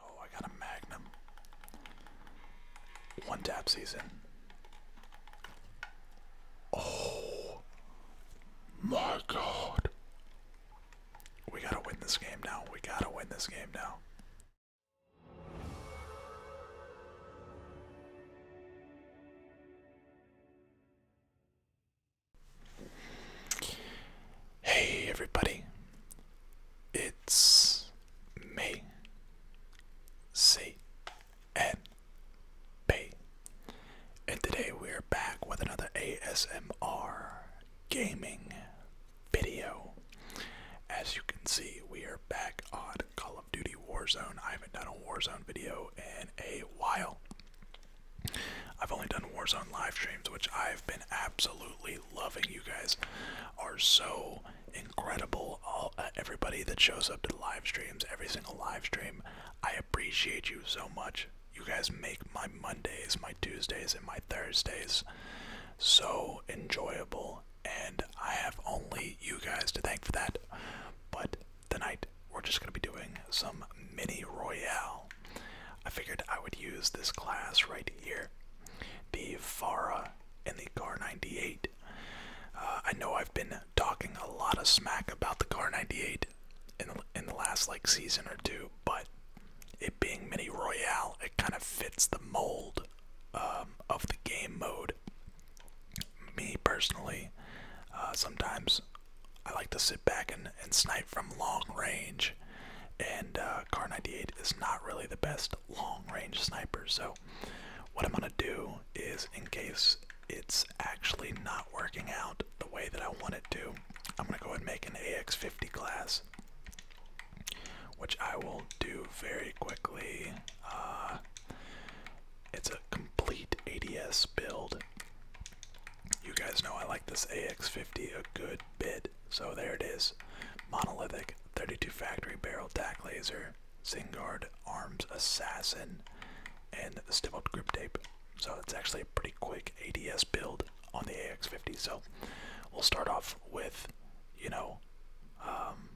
Oh, I got a magnum. One tap season. Oh my god. We gotta win this game now. We gotta win this game now. Hey everybody, it's me, C N B, and today we're back with another ASMR gaming video. As you can see, we are back on Call of Duty Warzone. I haven't done a Warzone video in a while. I've only done Warzone live streams, which I've been absolutely loving you guys are so incredible. All, uh, everybody that shows up to the live streams, every single live stream, I appreciate you so much. You guys make my Mondays, my Tuesdays, and my Thursdays so enjoyable, and I have only you guys to thank for that. But tonight, we're just going to be doing some mini royale. I figured I would use this class right here the Vara, in the Car 98. Uh, I know I've been talking a lot of smack about the Car 98 in in the last like season or two, but it being mini royale, it kind of fits the mold um, of the game mode. Me personally, uh, sometimes I like to sit back and, and snipe from long range and uh, Car 98 is not really the best long range sniper. So, what I'm gonna do is, in case it's actually not working out the way that I want it to, I'm gonna go ahead and make an AX50 class, which I will do very quickly. Uh, it's a complete ADS build. You guys know I like this AX50 a good bit. So there it is. Monolithic, 32 factory barrel tack laser, Zingard arms assassin, and Stimul grip tape. So it's actually a pretty quick ADS build on the AX50. So we'll start off with, you know, um,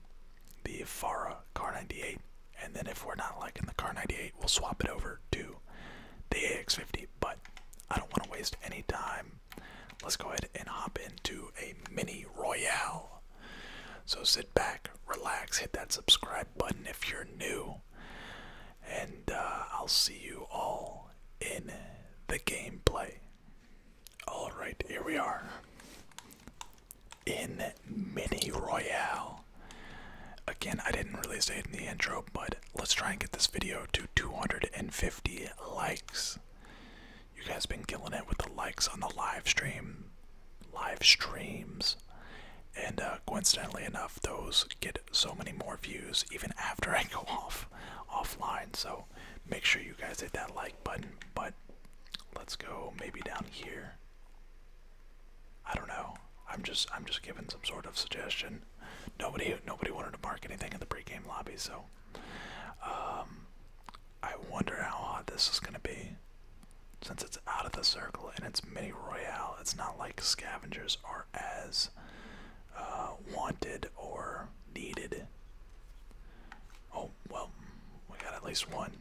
the Ifara Car 98, and then if we're not liking the Car 98, we'll swap it over to the AX50. But I don't want to waste any time Let's go ahead and hop into a mini royale. So sit back, relax, hit that subscribe button if you're new, and uh, I'll see you all in the gameplay. Alright, here we are. In Mini Royale. Again, I didn't really say it in the intro, but let's try and get this video to 250 likes. You guys been killing it with the likes on the live stream, live streams, and uh, coincidentally enough, those get so many more views even after I go off offline. So make sure you guys hit that like button. But let's go maybe down here. I don't know. I'm just I'm just giving some sort of suggestion. Nobody nobody wanted to mark anything in the pregame lobby, so um, I wonder how hot this is going to be. Since it's out of the circle and it's mini royale, it's not like scavengers are as uh, wanted or needed. Oh, well, we got at least one.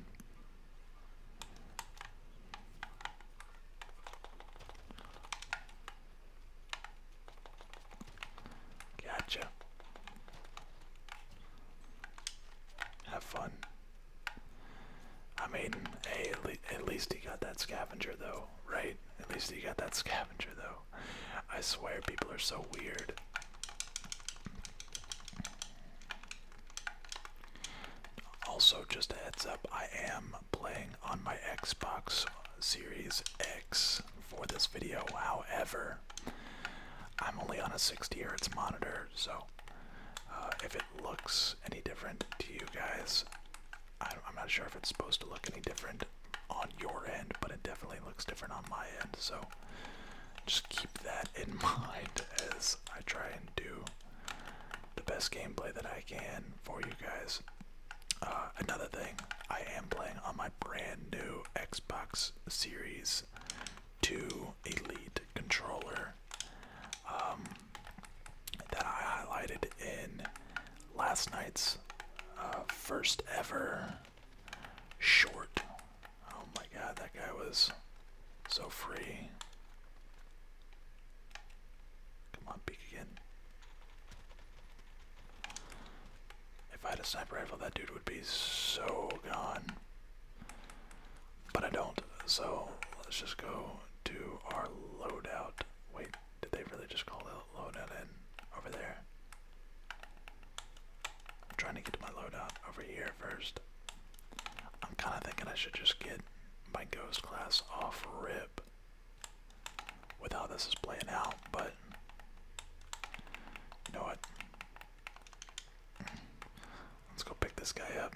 Gotcha. Have fun. I mean, hey, at least he got that scavenger though, right? At least he got that scavenger though. I swear people are so weird. Also, just a heads up, I am playing on my Xbox Series X for this video. However, I'm only on a 60 hertz monitor, so uh, if it looks any different to you guys, I'm not sure if it's supposed to look any different on your end, but it definitely looks different on my end. So just keep that in mind as I try and do the best gameplay that I can for you guys. Uh, another thing, I am playing on my brand new Xbox Series 2 Elite controller um, that I highlighted in last night's uh, first ever short. Oh my god, that guy was so free. Come on, peek again. If I had a sniper rifle, that dude would be so gone. But I don't, so let's just go to our loadout. Wait, did they really just call that loadout in over there? I'm trying to get to my loadout over here first. I'm kind of thinking I should just get my ghost class off rip with how this is playing out, but you know what? Let's go pick this guy up.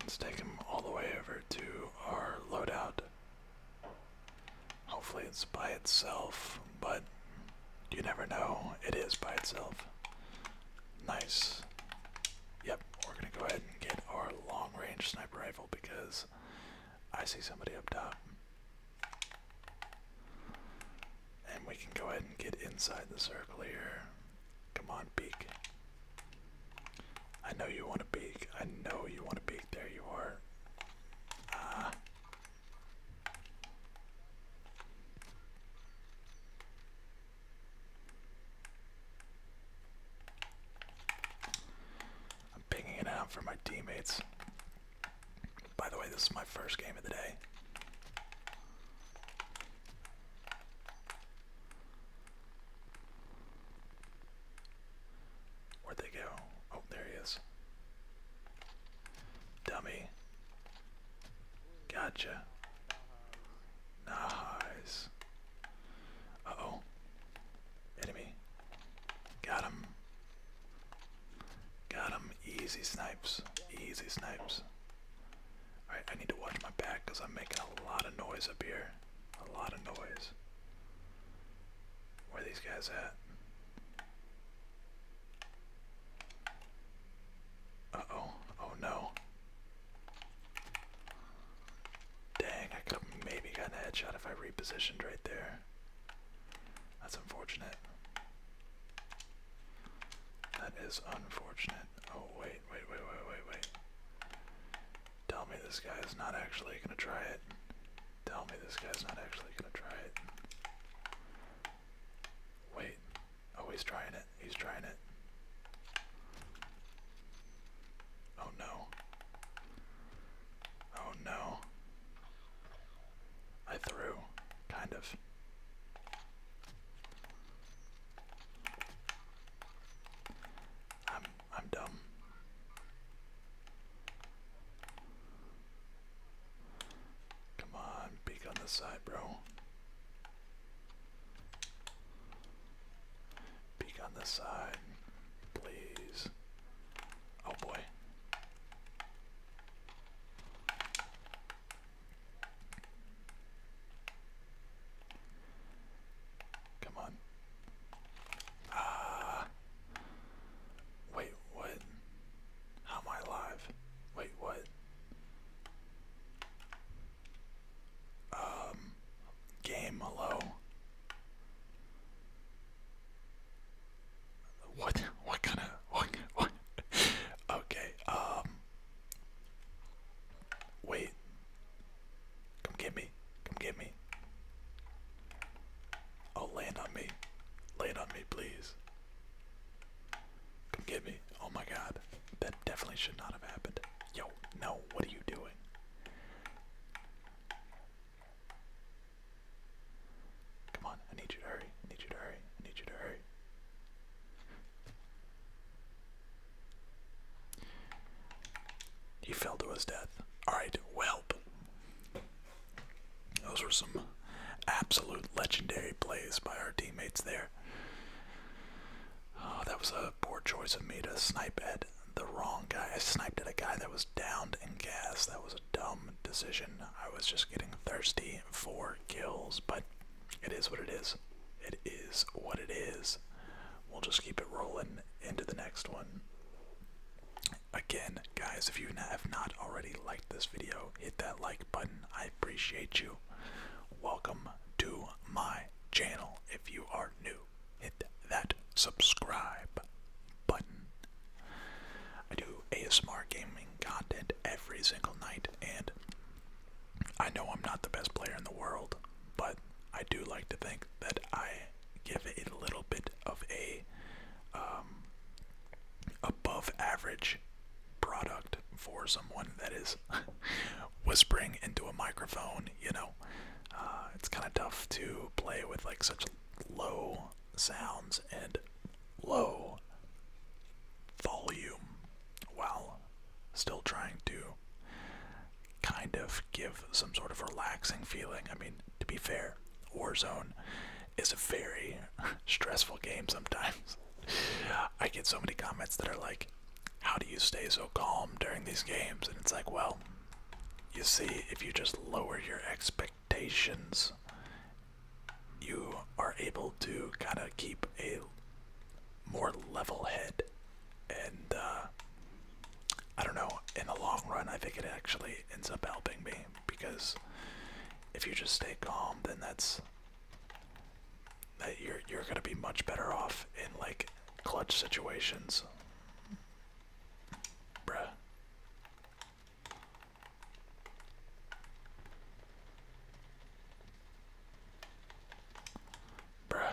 Let's take him all the way over to our loadout. Hopefully it's by itself, but you never know. It is by itself. Nice. Yep, we're gonna go ahead and get our long range sniper rifle because I see somebody up top. And we can go ahead and get inside the circle here. Come on, peek. I know you want to peek. I know you want to peek. There you are. Ah i pinging it out for my teammates. By the way, this is my first game of the day. Where'd they go? Oh, there he is. Dummy. Gotcha. Nice. Uh-oh. Enemy. Got him. Got him. Easy snipes. Easy snipes. Alright, I need to watch my back because I'm making a lot of noise up here. A lot of noise. Where are these guys at? Uh-oh. Oh no. Dang, I could have maybe gotten a headshot if I repositioned right there. That's unfortunate. That is unfortunate. Oh, wait, wait, wait, wait, wait, wait. Tell me this guy is not actually gonna try it. Tell me this guy is not actually gonna try it. Wait. Oh, he's trying it. He's trying it. Oh no. Oh no. I threw, kind of. I'm I'm dumb. Come on, peek on this side, bro. Peek on this side, please. Oh boy. Come on. Ah. wait, what? How am I alive? Wait, what? Um. Game, hello. What? What kind of? What? what? okay. Um. Wait. Come get me. Come get me. Oh, land on me. Land on me, please. Come get me. Oh my God. That definitely should not have happened. Yo, no. What are you doing? Come on, I need you to hurry. I need you to hurry. I need you to hurry. He fell to his death. Alright, whelp. Those were some absolute legendary plays by our teammates there. Oh, that was a poor choice of me to snipe at the wrong guy. I sniped at a guy that was downed and gassed. That was a dumb decision. I was just getting thirsty for kills, but it is what it is. It is what it is. We'll just keep it rolling into the next one. Again, guys, if you have not already liked this video, hit that like button. I appreciate you. Welcome to my channel if you are new that subscribe button. I do ASMR gaming content every single night, and I know I'm not the best player in the world, but I do like to think that I give a little bit of a um, above average product for someone that is whispering into a microphone, you know. Uh, it's kind of tough to play with like such low sounds and low volume while still trying to kind of give some sort of relaxing feeling. I mean, to be fair, Warzone is a very stressful game sometimes. I get so many comments that are like, how do you stay so calm during these games? And it's like, well, you see, if you just lower your expectations, you are able to kind of keep a more level head. And uh, I don't know, in the long run, I think it actually ends up helping me because if you just stay calm, then that's that you're you're gonna be much better off in like clutch situations. Bruh. Bruh.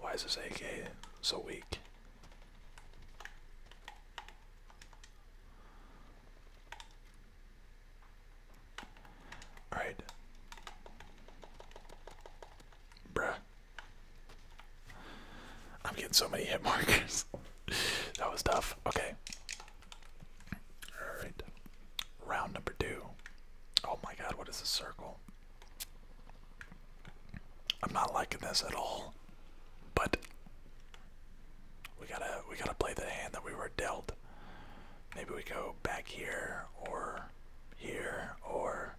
Why is this AK so weak? Alright. Bruh. I'm getting so many hit markers. that was tough. Okay. Alright. Round number two. Oh my god, what is a circle? I'm not liking this at all. But we gotta we gotta play the hand that we were dealt. Maybe we go back here or here or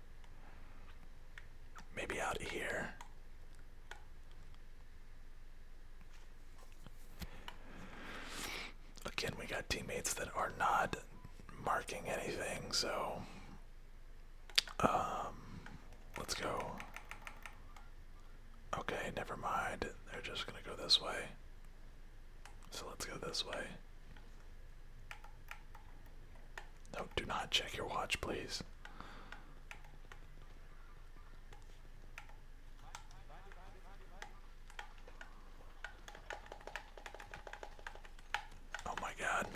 Maybe out here. Again, we got teammates that are not marking anything, so um, let's go. Okay, never mind. They're just gonna go this way. So let's go this way. No, do not check your watch, please. Oh my god.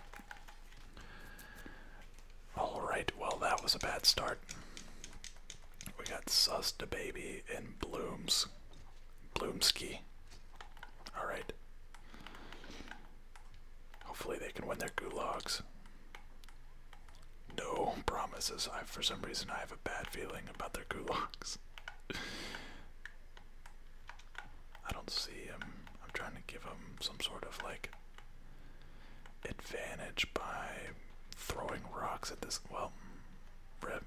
Alright, well, that was a bad start. We got Sus Baby and Blooms. Bloomski. Alright. Hopefully they can win their gulags. No promises. I for some reason I have a bad feeling about their gulags. I don't see him. I'm trying to give him some sort of like advantage by throwing rocks at this well rip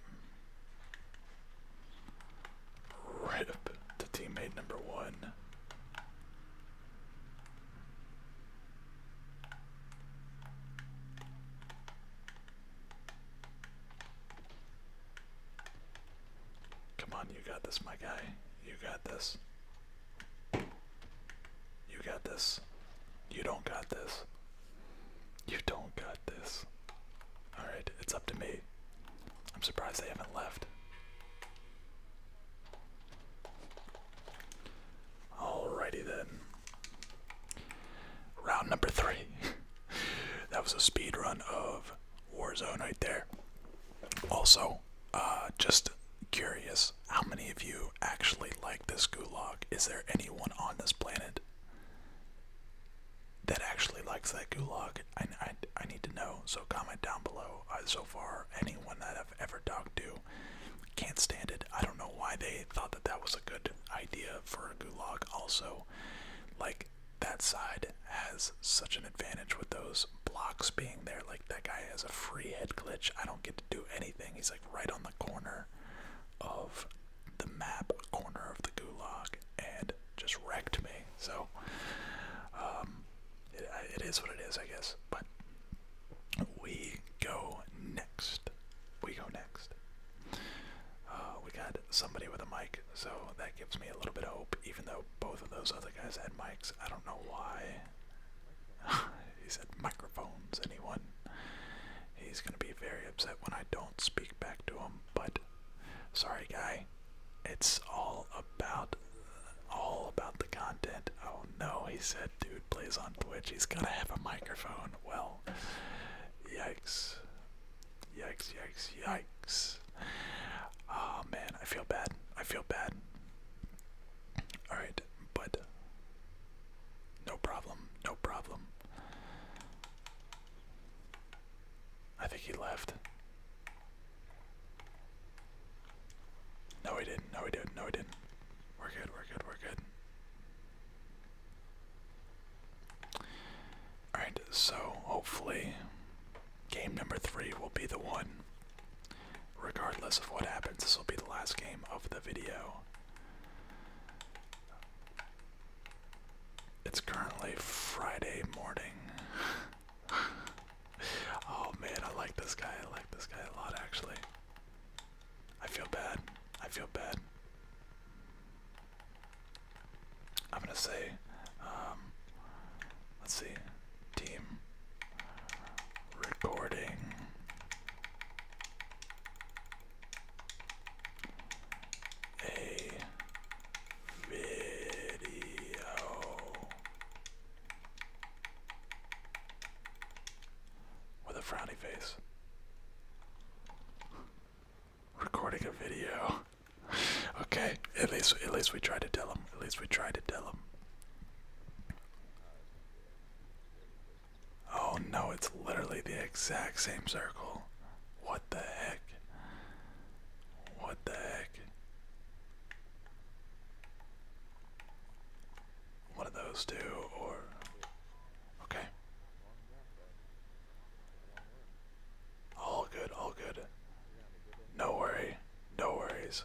right to teammate number one. Come on, you got this, my guy. You got this. You got this. You don't got this. You don't got this. Alright, it's up to me. I'm surprised they haven't left. Alrighty then. Round number three. that was a speed run of Warzone right there. Also, uh, just curious, how many of you actually like this gulag? Is there anyone on this planet that actually likes that gulag? I, I, need to know. So comment down below. so far, anyone that I've ever talked to can't stand it. I don't know why they thought that that was a good idea for a gulag. Also, like that side has such an advantage with those blocks being there. Like that guy has a free head glitch. I don't get to do anything. He's like right on the corner of the map, corner of the gulag, and just wrecked me. So, um, it is what it is, I guess. But we go next. We go next. Uh, we got somebody with a mic, so that gives me a little bit of hope, even though both of those other guys had mics. I don't know why. he said microphones, anyone. He's going to be very upset when I don't speak back to him, but sorry, guy. It's all about all about the content. Oh no, he said dude plays on Twitch. He's gotta have a microphone. Well yikes. Yikes, yikes, yikes. Oh man, I feel bad. I feel bad. Alright, but no problem, no problem. I think he left. No, we didn't. No, we didn't. No, we didn't. We're good. We're good. We're good. Alright, so hopefully game number three will be the one. Regardless of what happens, this will be the last game of the video. It's currently Friday morning. oh man, I like this guy. I like this guy a lot, actually. I feel bad. I feel bad. I'm gonna say, um, let's see, team recording. A video with a frowny face. Recording a video. okay, at least at least we try to tell him. At least we try to tell him. Oh no, it's literally the exact same circle. What the heck? What the heck? One of those two, or okay. All good, all good. No worry, no worries.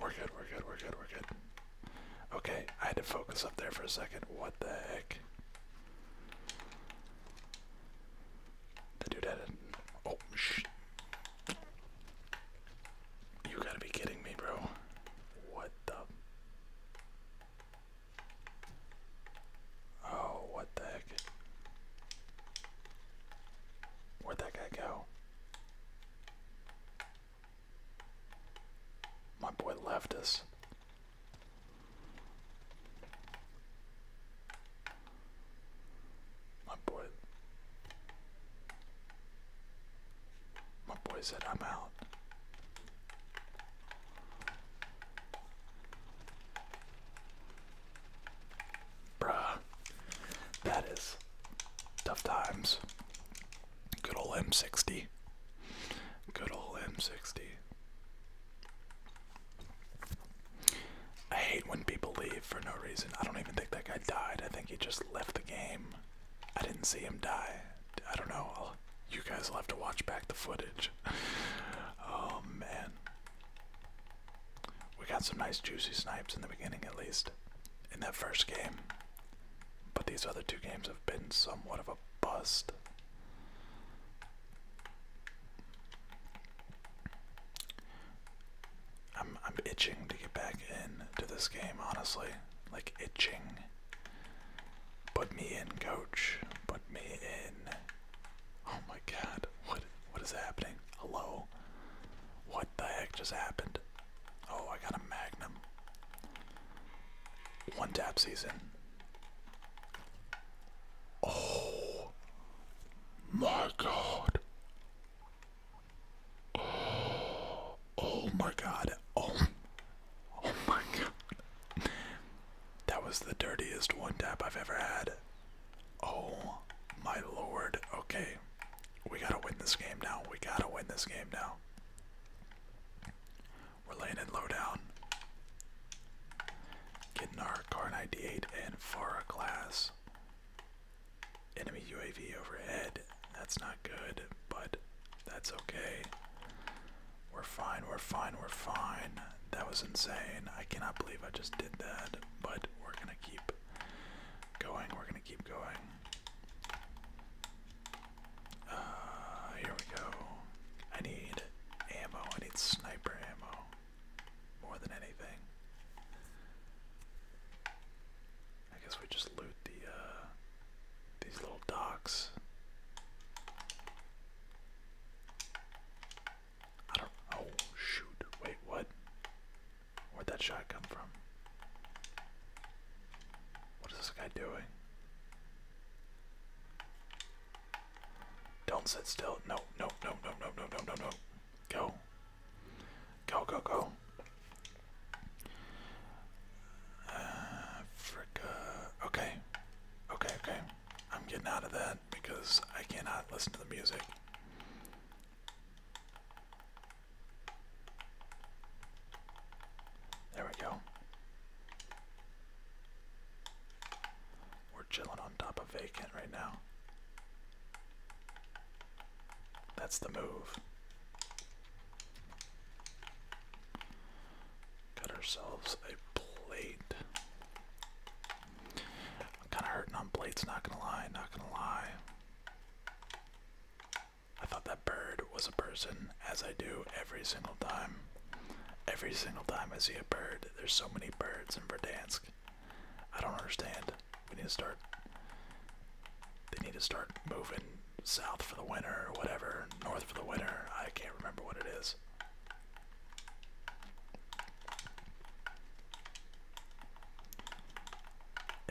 We're good, we're good, we're good, we're good. Okay, I had to focus up there for a second. What the heck? The dude had Oh, shit. You gotta be kidding me, bro. What the. Oh, what the heck? Where'd that guy go? My boy left us. My boy. My boy said, I'm out. Bruh, that is tough times. Good old M60. Good old M60. I hate when people leave for no reason. I don't even think that guy died. I think he just left the game. I didn't see him die. I don't know. you guys will have to watch back the footage. oh man. We got some nice juicy snipes in the beginning, at least, in that first game. But these other two games have been somewhat of a bust. I'm I'm itching to get back into this game, honestly. Like itching. Put me in, coach. Put me in. Oh my god. What what is happening? Hello? What the heck just happened? Oh, I got a magnum. One tap season. Oh my god. Oh. Oh my god. Oh. Oh my god. That was the dirtiest one tap I've ever had. Oh my lord. Okay. We gotta win this game now. We gotta win this game now. We're laying it low down. Getting our car 98 and Farah class. Enemy UAV overhead. That's not good, but that's okay. We're fine, we're fine, we're fine. That was insane. I cannot believe I just did that, but we're gonna keep going, we're gonna keep going. Uh, here we go. I need ammo, I need sniper ammo more than anything. I guess we just loot the, uh, these little docks. I don't. Oh shoot! Wait, what? Where'd that shot come from? What is this guy doing? Don't sit still. No, no, no, no, no, no, no, no, no. Go. Go, go, go. Africa. Okay. Okay, okay. I'm getting out of that because I cannot listen to the music. There we go. We're chilling on top of vacant right now. That's the move. Cut ourselves a blade. I'm kind of hurting on blades, not gonna lie, not gonna lie. I thought that bird was a person, as I do every single time. Every single time I see a bird, there's so many birds in Verdansk. I don't understand. We need to start. They need to start moving south for the winter or whatever, north for the winter. I can't remember what it is.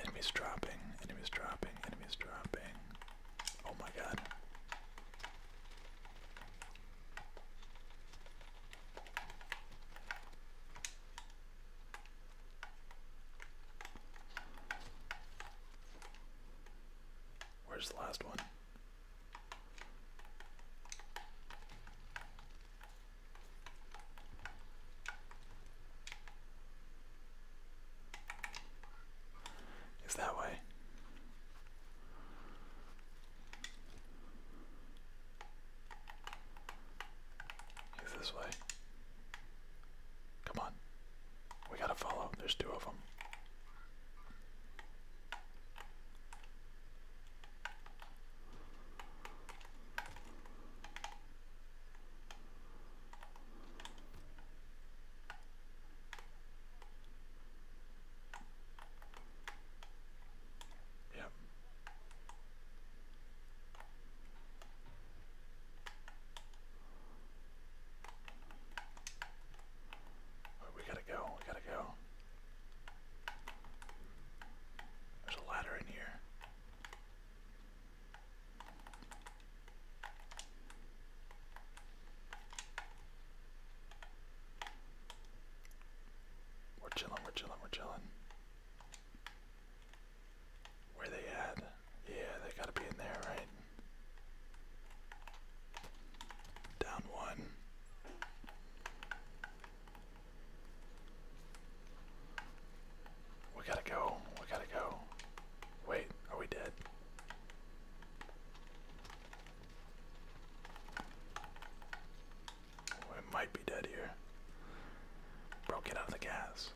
Enemies dropping, enemies dropping, enemies dropping. Oh my god. Where's the last one? It's that way. It's this way. Come on. We gotta follow. There's two of them. Yep we gotta go, we gotta go. There's a ladder in here. We're chilling, we're chilling, we're chilling. Where they at? Yeah, they gotta be in there, right? Down one. We gotta go. We gotta go. Wait, are we dead? We oh, might be dead here. Bro, get out of the gas.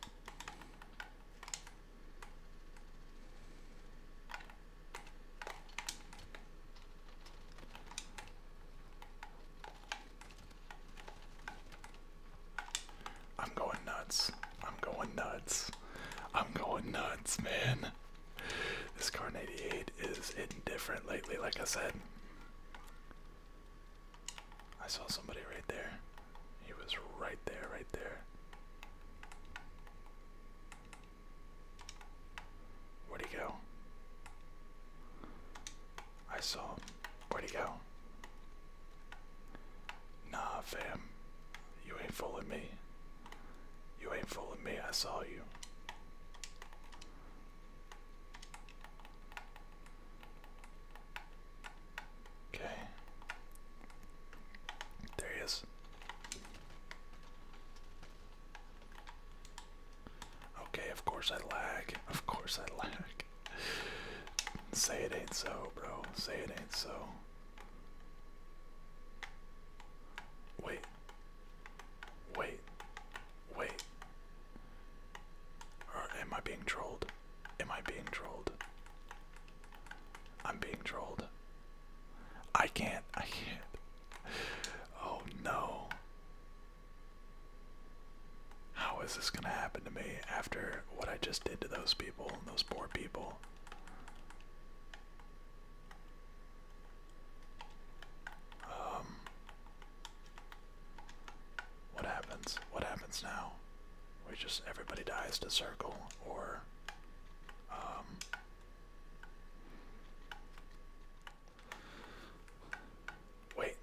I'm going nuts. I'm going nuts. I'm going nuts, man. This car 88 is indifferent lately, like I said. I saw somebody right there. He was right there, right there. Where'd he go? I saw him. Where'd he go? Nah, fam. You ain't fooling me. You ain't fooling me. I saw you. Okay. There he is. Okay, of course I lag. Of course I lag. Say it ain't so, bro. Say it ain't so. Wait. Wait. Wait. am I being trolled? Am I being trolled? I'm being trolled. I can't. I can't. Oh no. How is this gonna happen to me after what I just did to those people, those poor people? Um. What happens? What happens now? We just everybody dies to circle, or um, wait.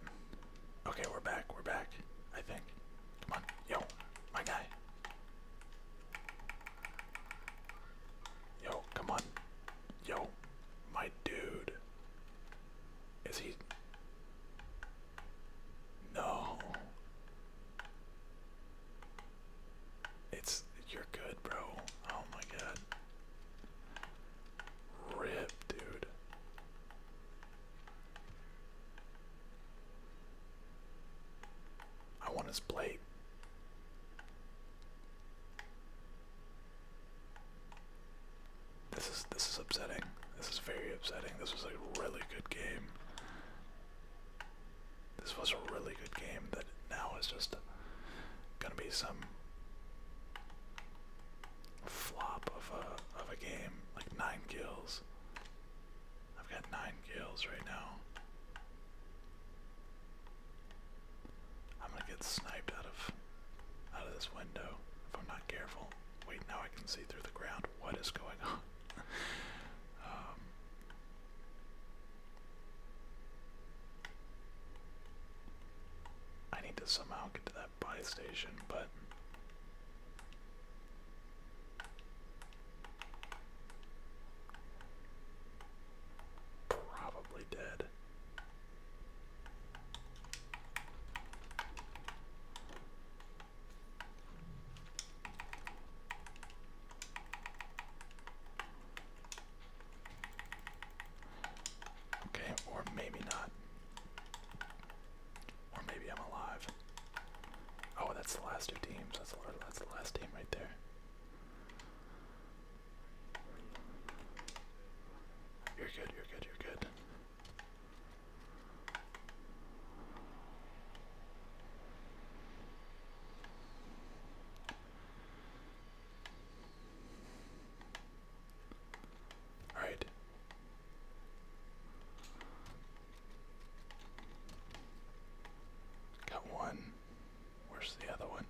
Okay, we're back. We're back. I think. Come on. Yo, my guy. Yo, come on. Yo, my dude. Is he. No. It's you're good, bro. Oh my god. Rip, dude. I want his blade. This is this is upsetting. This is very upsetting. This was a really good game. This was a really good game that now is just gonna be some flop of a of a game. Like nine kills. I've got nine kills right now. I'm gonna get sniped out of out of this window if I'm not careful. Wait, now I can see through the ground what is going on. Um, I need to somehow get to that buy station, but. Probably dead. Okay, or maybe not. Or maybe I'm alive. Oh, that's the last two teams. That's the, that's the last team right there. You're good, you're good, you're good. All right. Got one. Where's the other one?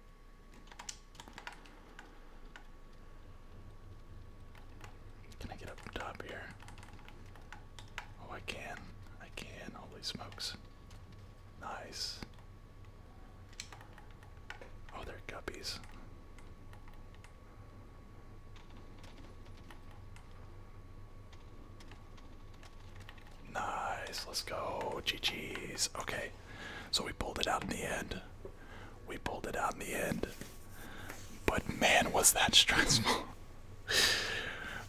Can I get up top here? Oh, I can. I can. Holy smokes. Nice. Oh, they're guppies. Nice, let's go. GG's. Okay, so we pulled it out in the end. We pulled it out in the end. But man, was that stressful.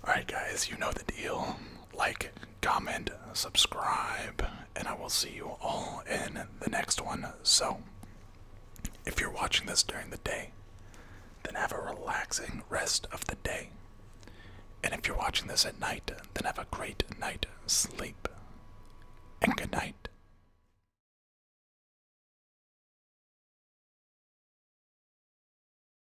Alright, guys, you know the deal like, comment, subscribe, and I will see you all in the next one. So, if you're watching this during the day, then have a relaxing rest of the day. And if you're watching this at night, then have a great night sleep. And good night.